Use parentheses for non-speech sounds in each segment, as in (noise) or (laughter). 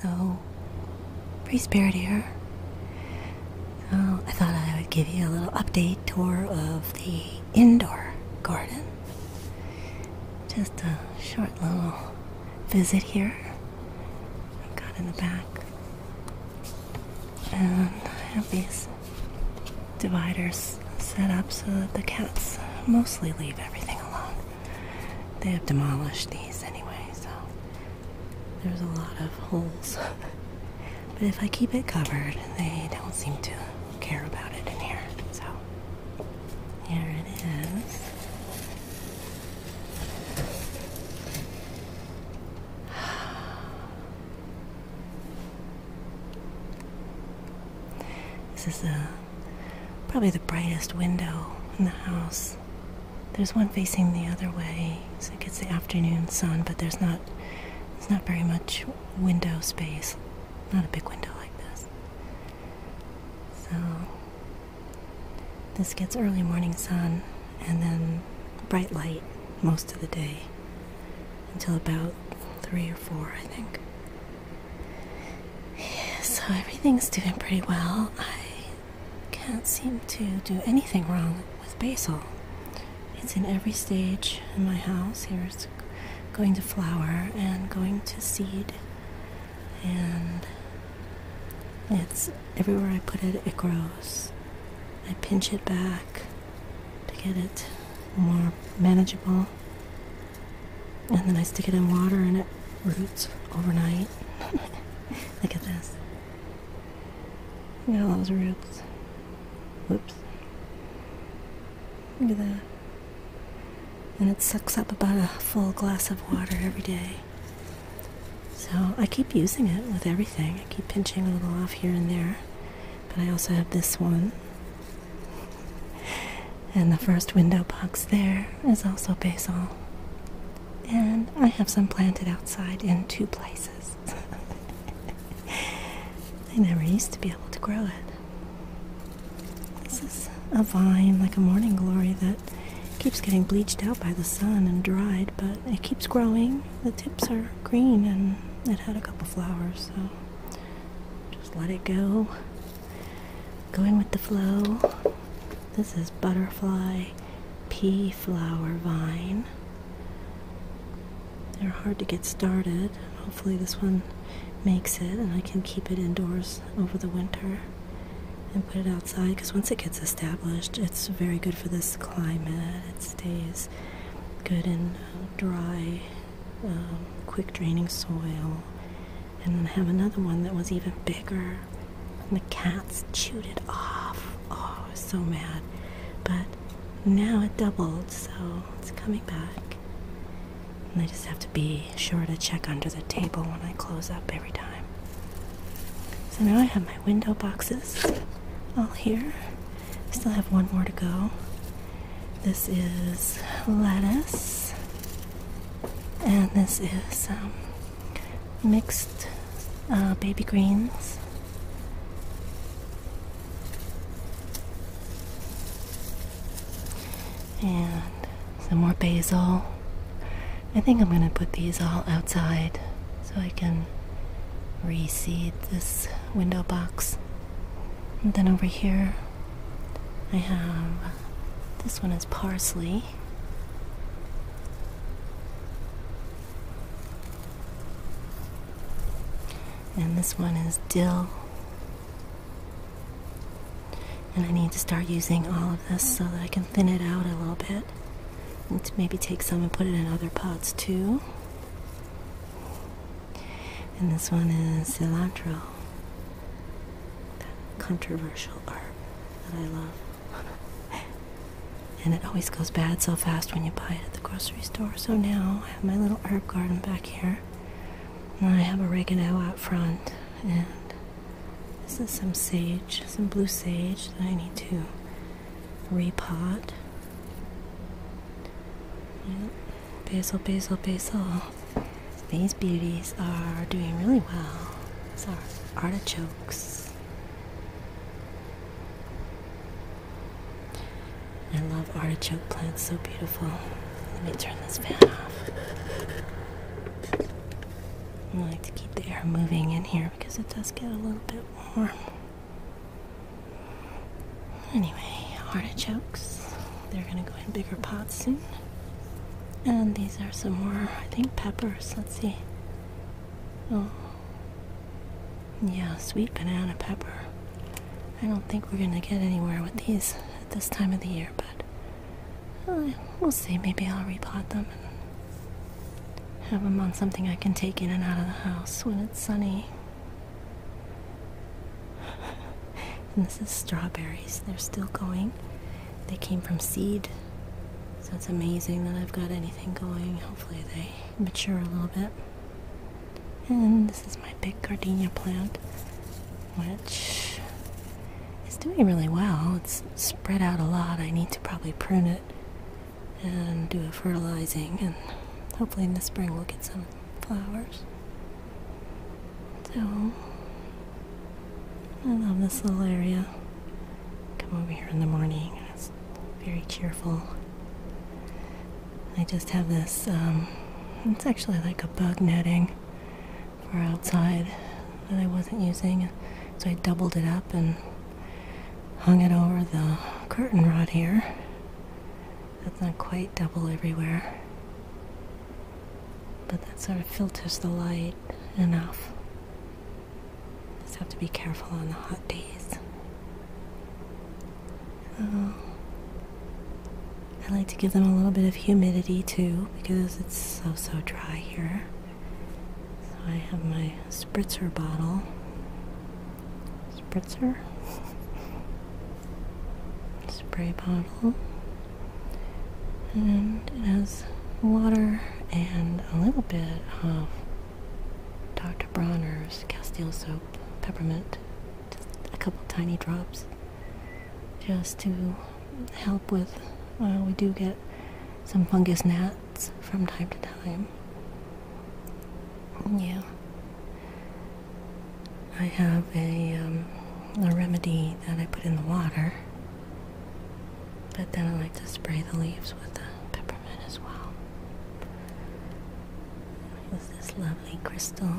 Hello. Pre-spirit here. Uh, I thought I would give you a little update tour of the indoor garden. Just a short little visit here. I've got in the back. And I have these dividers set up so that the cats mostly leave everything alone. They have demolished these anyway, so there's a lot of holes. (laughs) but if I keep it covered, they don't seem to care about it in here. So here it is. This is the, probably the brightest window in the house. There's one facing the other way, so it gets the afternoon sun, but there's not there's not very much window space. Not a big window like this. So this gets early morning sun and then bright light most of the day until about three or four, I think. So everything's doing pretty well. I can't seem to do anything wrong with basil. It's in every stage in my house. Here it's going to flower and going to seed and it's everywhere I put it, it grows. I pinch it back to get it more manageable, and then I stick it in water and it roots overnight. (laughs) Look at this. Look at all those roots. Whoops. Look at that. And it sucks up about a full glass of water every day. So I keep using it with everything. I keep pinching a little off here and there. But I also have this one. (laughs) And the first window box there is also basil. And I have some planted outside in two places. (laughs) I never used to be able to grow it. This is a vine, like a morning glory, that keeps getting bleached out by the sun and dried, but it keeps growing. The tips are green and it had a couple flowers, so just let it go. Going with the flow. This is butterfly pea flower vine. They're hard to get started. Hopefully, this one makes it and I can keep it indoors over the winter and put it outside because once it gets established, it's very good for this climate. It stays good and uh, dry, um, quick draining soil. And then have another one that was even bigger, and the cats chewed it off. Oh, so mad. But now it doubled, so it's coming back. And I just have to be sure to check under the table when I close up every time. So now I have my window boxes all here. I still have one more to go. This is lettuce, and this is um, mixed uh, baby greens and some more basil. I think I'm going to put these all outside so I can reseed this window box. And then over here, I have this one is parsley. And this one is dill. And I need to start using all of this so that I can thin it out a little bit. And maybe take some and put it in other pots too. And this one is cilantro. controversial herb that I love. (laughs) and it always goes bad so fast when you buy it at the grocery store. So now I have my little herb garden back here. And I have oregano out front and this is some sage, some blue sage that I need to repot. Basil, basil, basil. These beauties are doing really well. These are artichokes. I love artichoke plants, so beautiful. Let me turn this fan off. I like to keep the air moving in here because it does get a little bit warm. Anyway, artichokes. They're gonna go in bigger pots soon. And these are some more, I think, peppers. Let's see. Oh. Yeah, sweet banana pepper. I don't think we're gonna get anywhere with these at this time of the year, but uh, we'll see. Maybe I'll repot them and have them on something I can take in and out of the house when it's sunny. (laughs) and this is strawberries. They're still going. They came from seed. So it's amazing that I've got anything going. Hopefully they mature a little bit. And this is my big gardenia plant which is doing really well. It's spread out a lot. I need to probably prune it and do a fertilizing, and hopefully in the spring we'll get some flowers. So, I love this little area. Come over here in the morning, it's very cheerful. I just have this, um, it's actually like a bug netting for outside that I wasn't using. So I doubled it up and hung it over the curtain rod here. That's not quite double everywhere. But that sort of filters the light enough. Just have to be careful on the hot days. So I like to give them a little bit of humidity too because it's so so dry here. So I have my spritzer bottle. Spritzer? (laughs) Spray bottle. And it has water and a little bit of Dr. Bronner's Castile soap, peppermint, just a couple tiny drops, just to help with uh, we do get some fungus gnats from time to time. Yeah. I have a, um, a remedy that I put in the water, but then I like to spray the leaves with the peppermint as well. With this lovely crystal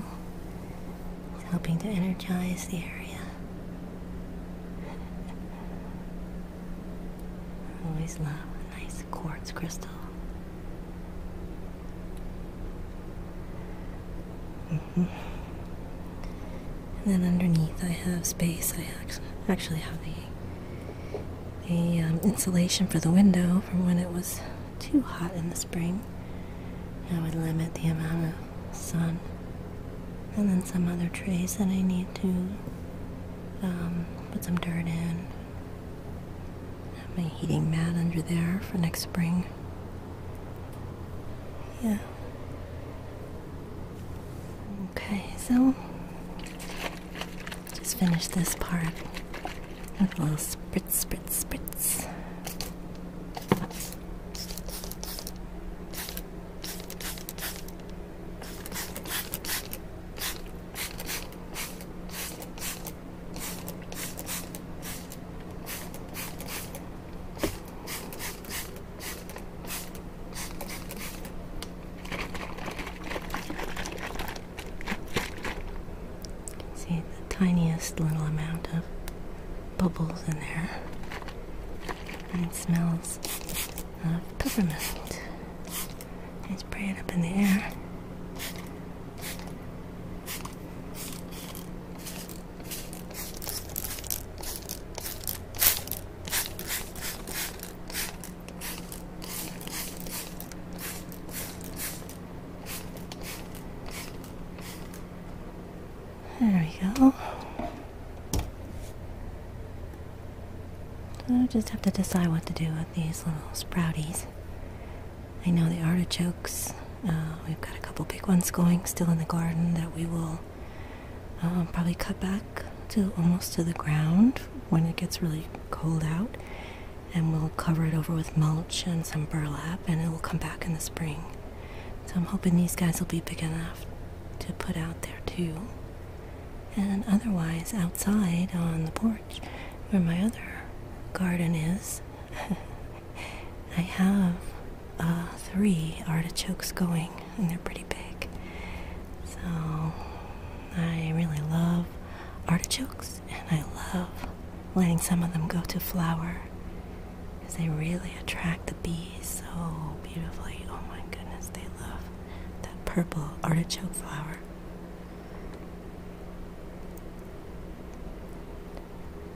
is helping to energize the area. always love a nice quartz crystal. Mm-hmm. And then underneath, I have space. I actually have the the um, insulation for the window from when it was too hot in the spring. I would limit the amount of sun and then some other trays that I need to um, put some dirt in. Have my heating mat under there for next spring. Yeah. Okay, so just finish this part with a little spritz, spritz, spritz. See the tiniest little amount of bubbles in there it smells of peppermint. I spray it up in the air. There we go. I just have to decide what to do with these little sprouties. I know the artichokes, uh, we've got a couple big ones going still in the garden that we will um, probably cut back to almost to the ground when it gets really cold out. And we'll cover it over with mulch and some burlap and it will come back in the spring. So I'm hoping these guys will be big enough to put out there too. And otherwise, outside on the porch where my other garden is, (laughs) I have uh, three artichokes going, and they're pretty big. So I really love artichokes, and I love letting some of them go to flower because they really attract the bees so beautifully. Oh my goodness, they love that purple artichoke flower.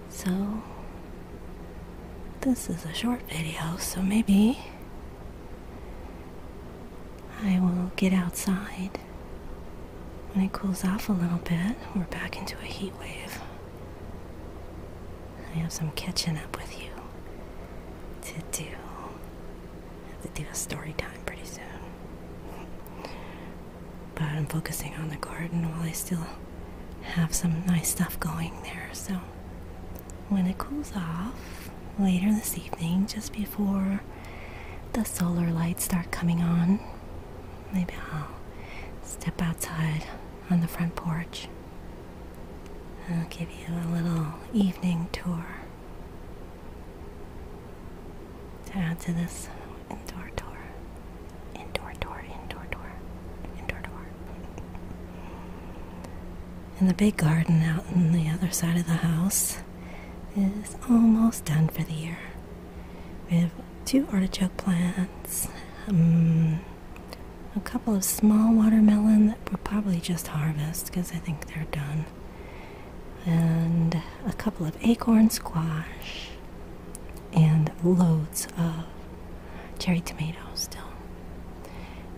So, this is a short video, so maybe I will get outside when it cools off a little bit. We're back into a heat wave. I have some catching up with you to do. I have to do a story time pretty soon. But I'm focusing on the garden while I still have some nice stuff going there. So when it cools off later this evening, just before the solar lights start coming on, maybe I'll step outside on the front porch I'll give you a little evening tour to add to this indoor tour. Indoor tour, indoor tour, indoor tour. And the big garden out on the other side of the house is almost done for the year. We have two artichoke plants. Um, a couple of small watermelon that we'll probably just harvest because I think they're done, and a couple of acorn squash, and loads of cherry tomatoes still.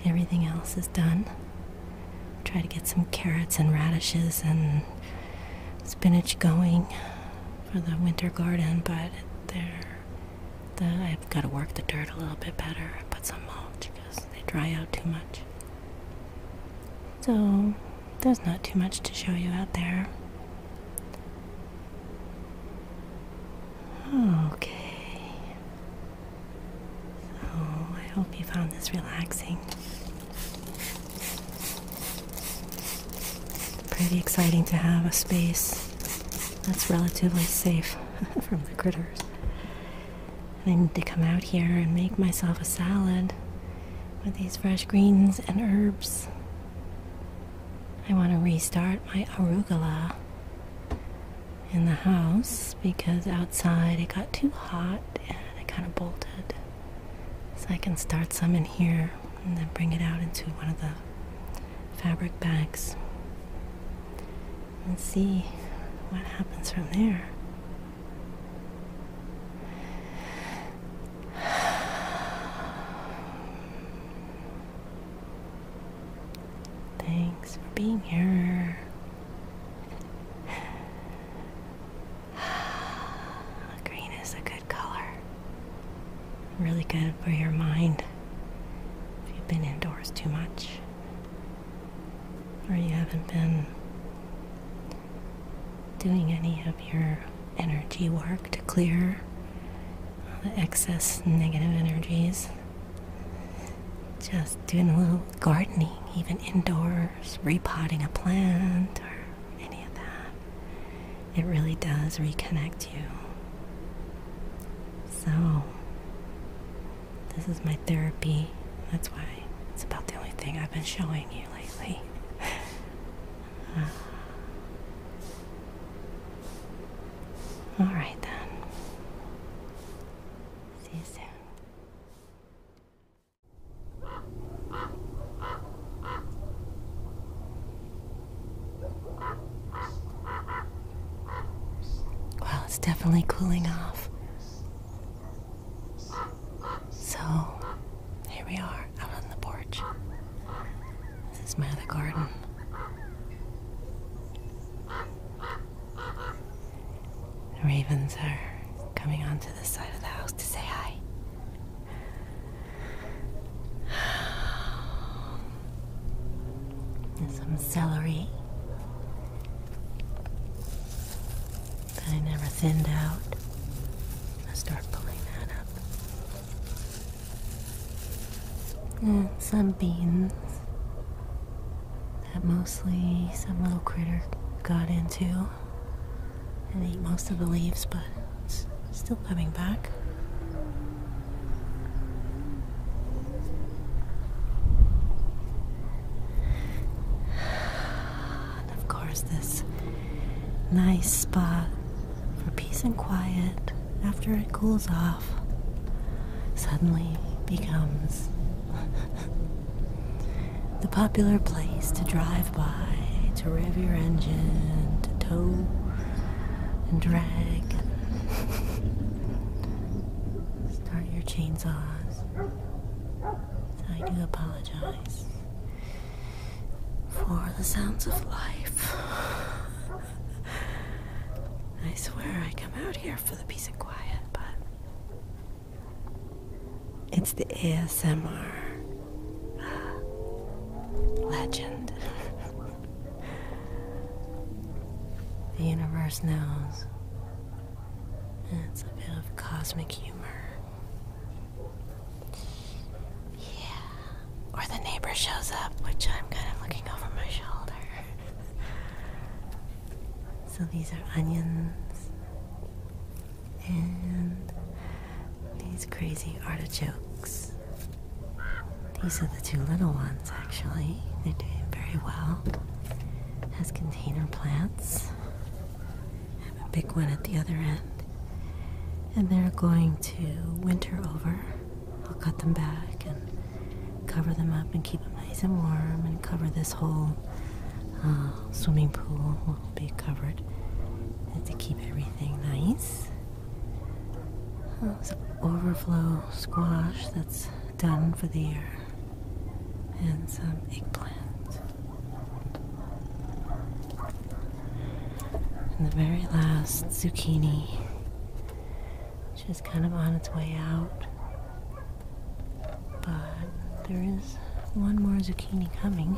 Everything else is done. Try to get some carrots and radishes and spinach going for the winter garden, but they're the, I've got to work the dirt a little bit better. Put some mulch because they dry out too much. So there's not too much to show you out there. Okay. So oh, I hope you found this relaxing pretty exciting to have a space that's relatively safe (laughs) from the critters. I need to come out here and make myself a salad with these fresh greens and herbs. I want to restart my arugula in the house because outside it got too hot and it kind of bolted. So I can start some in here and then bring it out into one of the fabric bags and see what happens from there. Thanks for being here. (sighs) Green is a good color. Really good for your mind if you've been indoors too much or you haven't been doing any of your energy work to clear the excess negative energies. Just doing a little gardening, even indoors, repotting a plant or any of that it really does reconnect you. So, this is my therapy. That's why it's about the only thing I've been showing you lately. (laughs) all right, then. See you soon. Well, it's definitely cooling off. So, here we are out on the porch. This is my other garden. The ravens are coming onto this side of the house to say hi. And some celery that I never thinned out. i start pulling that up. And some beans that mostly some little critter got into and ate most of the leaves, but still coming back. And of course, this nice spot for peace and quiet after it cools off suddenly becomes (laughs) the popular place to drive by, to rev your engine, to tow and drag. Start your chainsaws. I do apologize for the sounds of life. I swear I come out here for the peace and quiet, but it's the ASMR uh, legend. (laughs) The universe knows. It's a bit of cosmic humor. Yeah. Or the neighbor shows up, which I'm kind of looking over my shoulder. (laughs) so these are onions. And these crazy artichokes. These are the two little ones, actually. They're doing very well as container plants. I have a big one at the other end, and they're going to winter over. I'll cut them back and cover them up and keep them nice and warm, and cover this whole uh, swimming pool will be covered to keep everything nice. Well, oh, some overflow squash that's done for the year, and some eggplant. And the very last zucchini, which is kind of on its way out, but there is one more zucchini coming.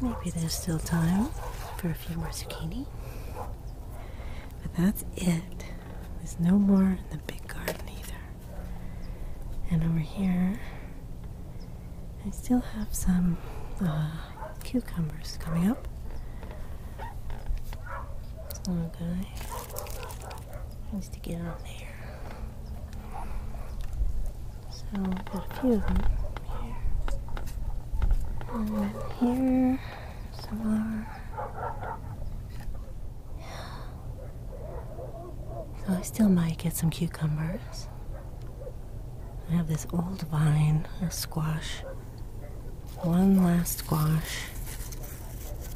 Maybe there's still time for a few more zucchini. But that's it. There's no more in the big garden either. And over here, I still have some uh, cucumbers coming up. This needs to get on there. So I've got a few of them here. And then here, some more. So oh, I still might get some cucumbers. I have this old vine, a squash. One last squash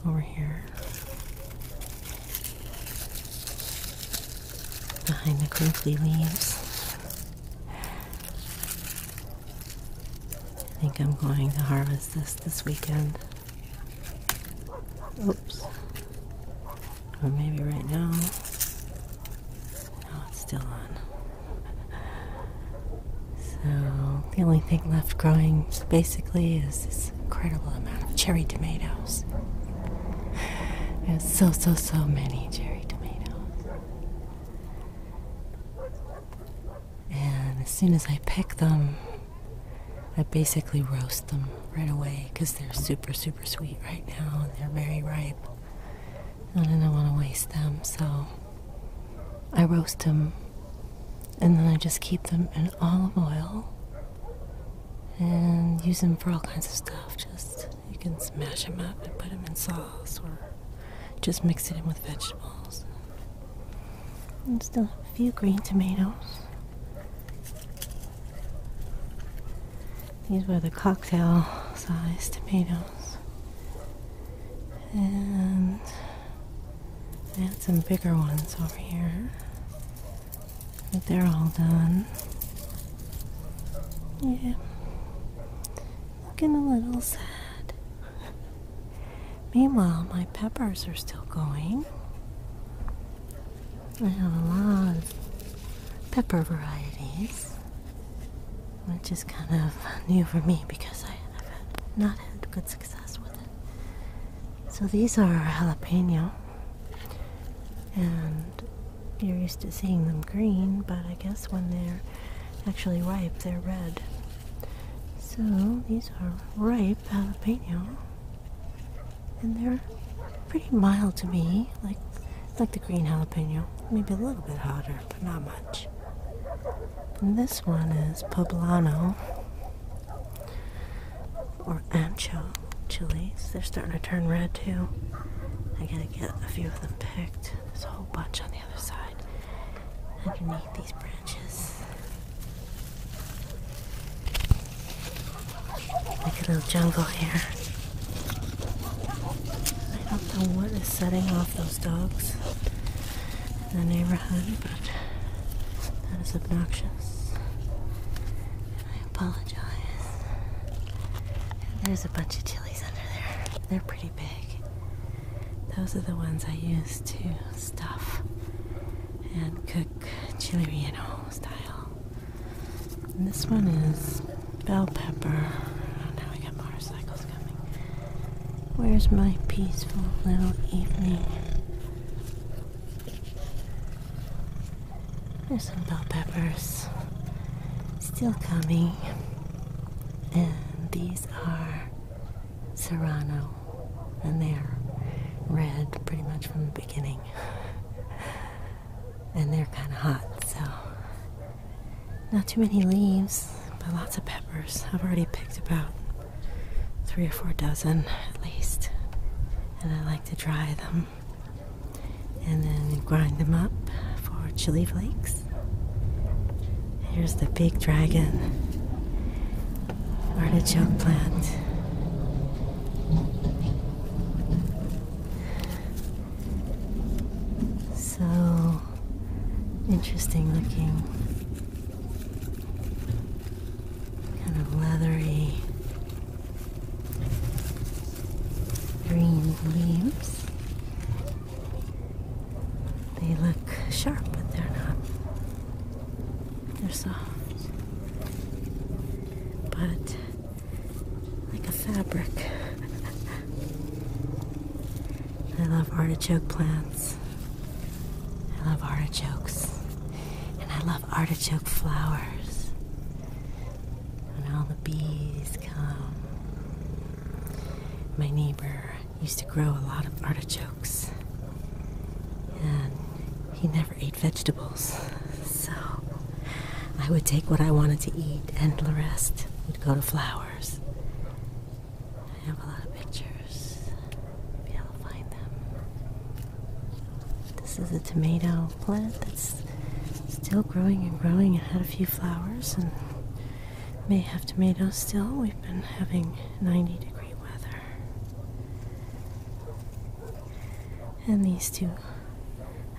over here behind the crinkly leaves. I think I'm going to harvest this this weekend. Oops. Or maybe right now. No, it's still on. So, the only thing left growing basically is this incredible amount of cherry tomatoes. There's so, so, so many cherry tomatoes. And as soon as I pick them, I basically roast them right away because they're super, super sweet right now and they're very ripe. And I don't want to waste them, so I roast them and then I just keep them in olive oil and use them for all kinds of stuff. Just you can smash them up and put them in sauce or just mix it in with vegetables. And still have a few green tomatoes. These were the cocktail sized tomatoes. And I had some bigger ones over here. But they're all done. Yeah. Looking a little sad. (laughs) Meanwhile, my peppers are still going. I have a lot of pepper varieties, which is kind of (laughs) new for me because I have not had good success with it. So these are jalapeno, and you're used to seeing them green, but I guess when they're actually ripe, they're red. So these are ripe jalapeno, and they're pretty mild to me, like like the green jalapeno. Maybe a little bit hotter, but not much. this one is poblano, or um, ancho chilies. They're starting to turn red too. I gotta get a few of them picked. There's a whole bunch on the other side underneath these branches. Like a little jungle here. I don't know what is setting off those dogs in the neighborhood, but that is obnoxious. I apologize. There's a bunch of chilies under there. They're pretty big. Those are the ones I use to stuff and cook chili relleno style. this one is bell pepper. now we got motorcycles coming. Where's my peaceful little evening? There's some bell peppers still coming. And these are Serrano. And they're red pretty much from the beginning. (laughs) and they're kind of hot, so not too many leaves, but lots of peppers. I've already picked about three or four dozen at least. And I like to dry them and then grind them up for chili flakes. Here's the big dragon artichoke plant. So interesting looking. Kind of leathery green leaves. They look sharp, but they're not. They're soft. But like a fabric. (laughs) I love artichoke plants. I love artichokes. And I love artichoke flowers. And all the bees come. My neighbor used to grow a lot of artichokes, and he never ate vegetables. So I would take what I wanted to eat, and the rest would go to flowers. I have a lot of pictures. be able to find them. This is a tomato plant that's still growing and growing. It had a few flowers and may have tomatoes still. We've been having 90 degree weather. And these two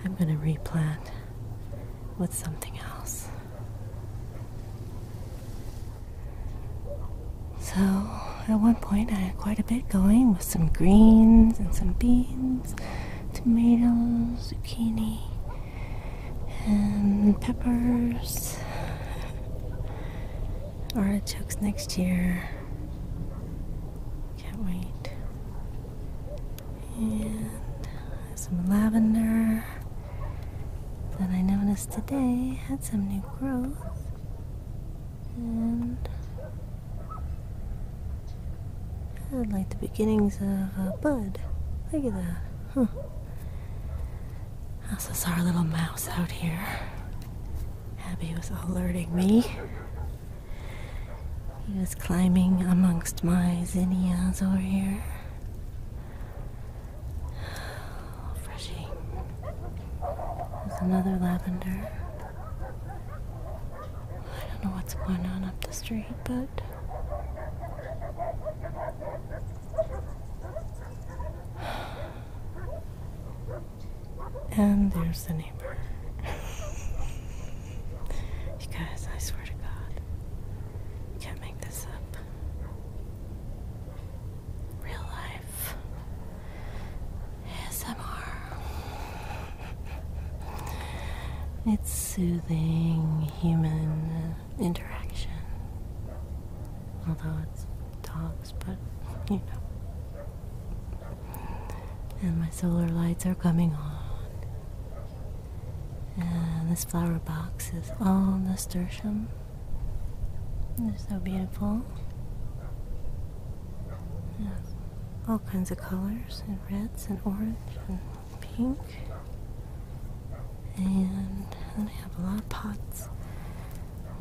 I'm going to replant with something else. So at one point I had quite a bit going with some greens and some beans tomatoes, zucchini, and peppers, artichokes next year. Can't wait. And some lavender that I noticed today had some new growth. And like the beginnings of a uh, bud. Look at that. Huh. This is our little mouse out here. Abby was alerting me. He was climbing amongst my zinnias over here. (sighs) Freshie. There's another lavender. I don't know what's going on up the street, but and there's the neighbor. you guys, I swear to God, can't make this up. Real life. SMR. It's soothing human interaction. Although it's dogs, but you know. And my solar lights are coming on. And this flower box is all nasturtium. they so beautiful. Yeah. All kinds of colors and reds and orange and pink. And then I have a lot of pots.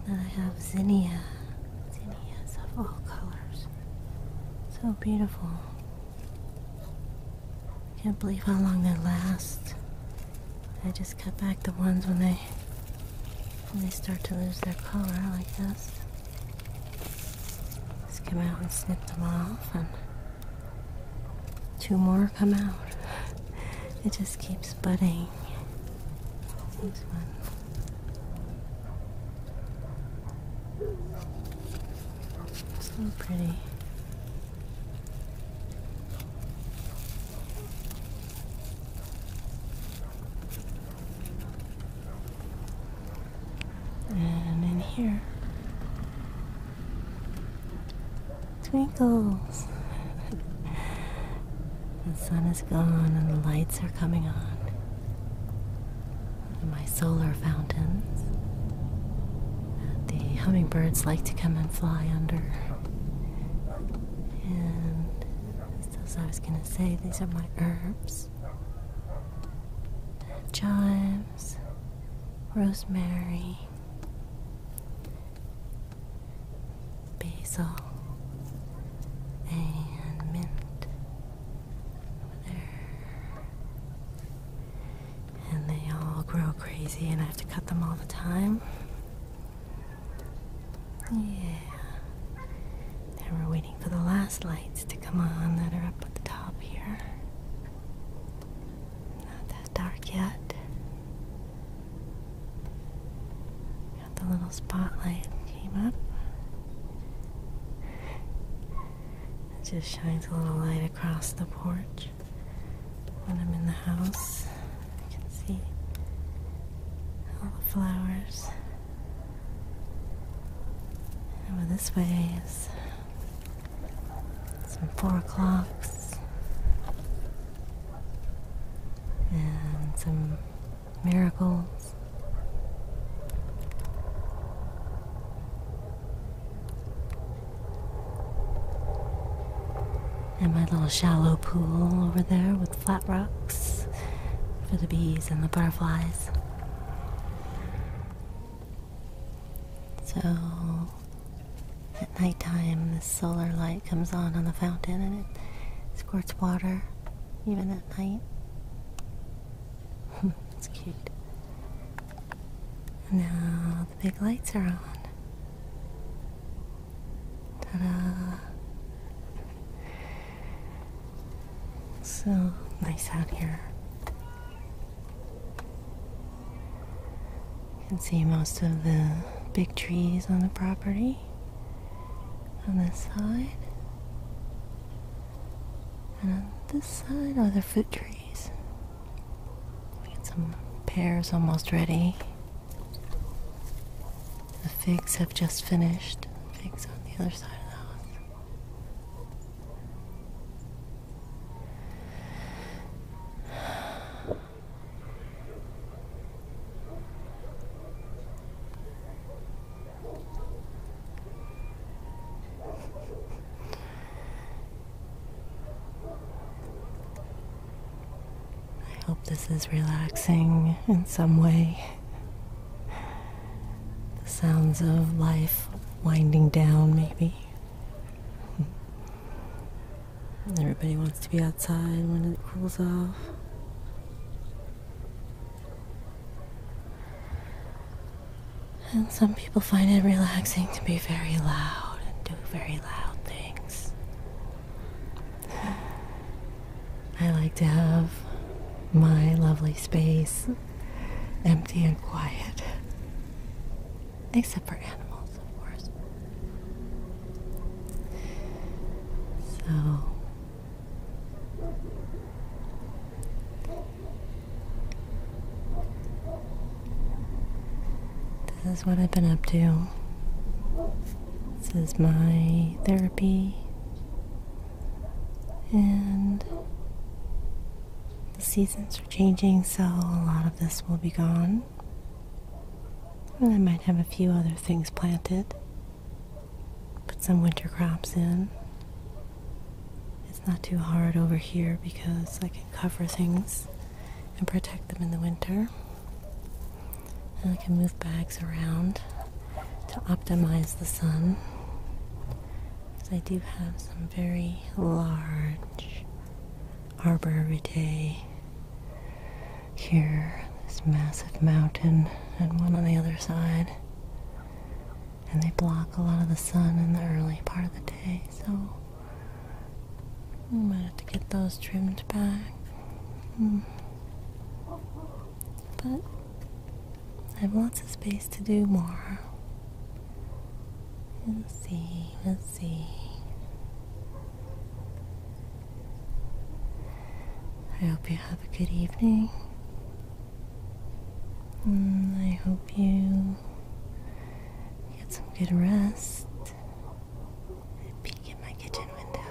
And then I have zinnia. Zinnias of all colors. So beautiful. can't believe how long they last. I just cut back the ones when they when they start to lose their color like this. Just come out and snip them off, and two more come out. It just keeps budding. This one. So pretty and in here. Twinkles! (laughs) the sun is gone and the lights are coming on. My solar fountains the hummingbirds like to come and fly under. And as I was going to say, these are my herbs. Chives, rosemary, basil, and mint over there. And they all grow crazy, and I have to cut them all the time. Yeah. Now we're waiting for the last lights to come on that are up at the top here. Not that dark yet. Got the little spotlight came up. It just shines a little light across the porch. When I'm in the house, I can see all the flowers over this way is some four o'clocks and some miracles. And my little shallow pool over there with flat rocks for the bees and the butterflies. So at nighttime, the solar light comes on on the fountain and it squirts water, even at night. That's (laughs) cute. Now the big lights are on. Ta-da! So nice out here. You can see most of the big trees on the property on this side. And on this side are the fruit trees. We got some pears almost ready. The figs have just finished. The figs on the other side of the house. I hope this is relaxing in some way. The sounds of life winding down, maybe. Everybody wants to be outside when it cools off. And some people find it relaxing to be very loud and do very loud things. I like to have my lovely space empty and quiet. Except for animals, of course. So. This is what I've been up to. This is my therapy and the seasons are changing, so a lot of this will be gone. And I might have a few other things planted. Put some winter crops in. It's not too hard over here because I can cover things and protect them in the winter. And I can move bags around to optimize the sun because I do have some very large arbor vitae here, this massive mountain, and one on the other side. And they block a lot of the sun in the early part of the day, so I might have to get those trimmed back. Hmm. But I have lots of space to do more. We'll see, we'll see. I hope you have a good evening. Mm, I hope you get some good rest. peek in my kitchen window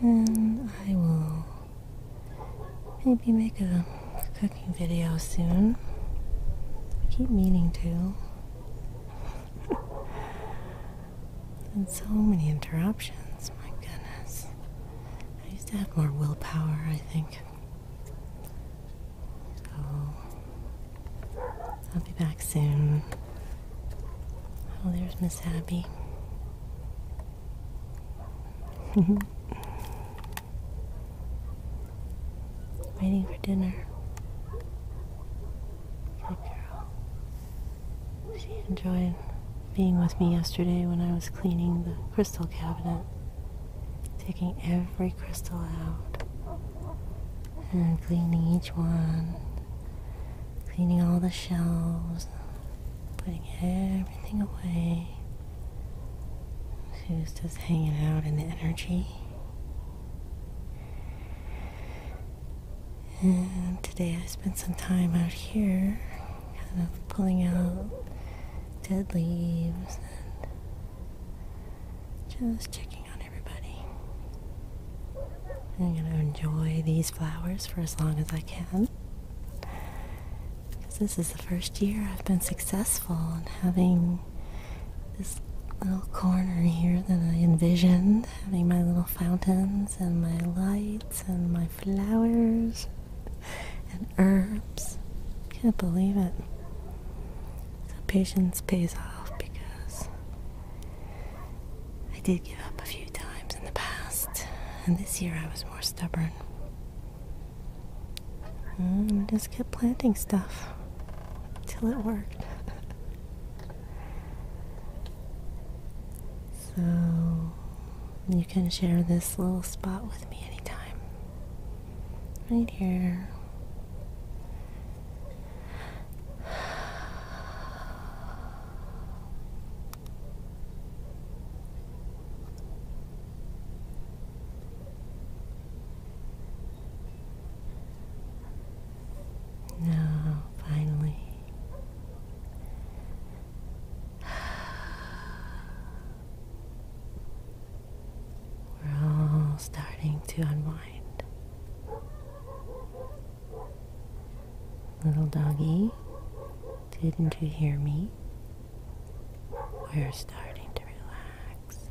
and I will maybe make a cooking video soon. keep meaning to. (laughs) and so many interruptions, my goodness. I used to have more willpower, I think. So I'll be back soon. Oh, there's Miss Abby. (laughs) Waiting for dinner. Good girl. She enjoyed being with me yesterday when I was cleaning the crystal cabinet, taking every crystal out and cleaning each one Cleaning all the shelves, putting everything away. She was just hanging out in the energy. And today I spent some time out here, kind of pulling out dead leaves and just checking on everybody. I'm going to enjoy these flowers for as long as I can. Because this is the first year I've been successful in having this little corner here that I envisioned, having my little fountains and my lights and my flowers and herbs. Can't believe it. So patience pays off because I did give up a few times in the past, and this year I was more stubborn. And mm, just kept planting stuff until it worked. (laughs) so you can share this little spot with me anytime. Right here. (sighs) Now, finally, we're all starting to unwind. Little doggy, didn't you hear me? We're starting to relax.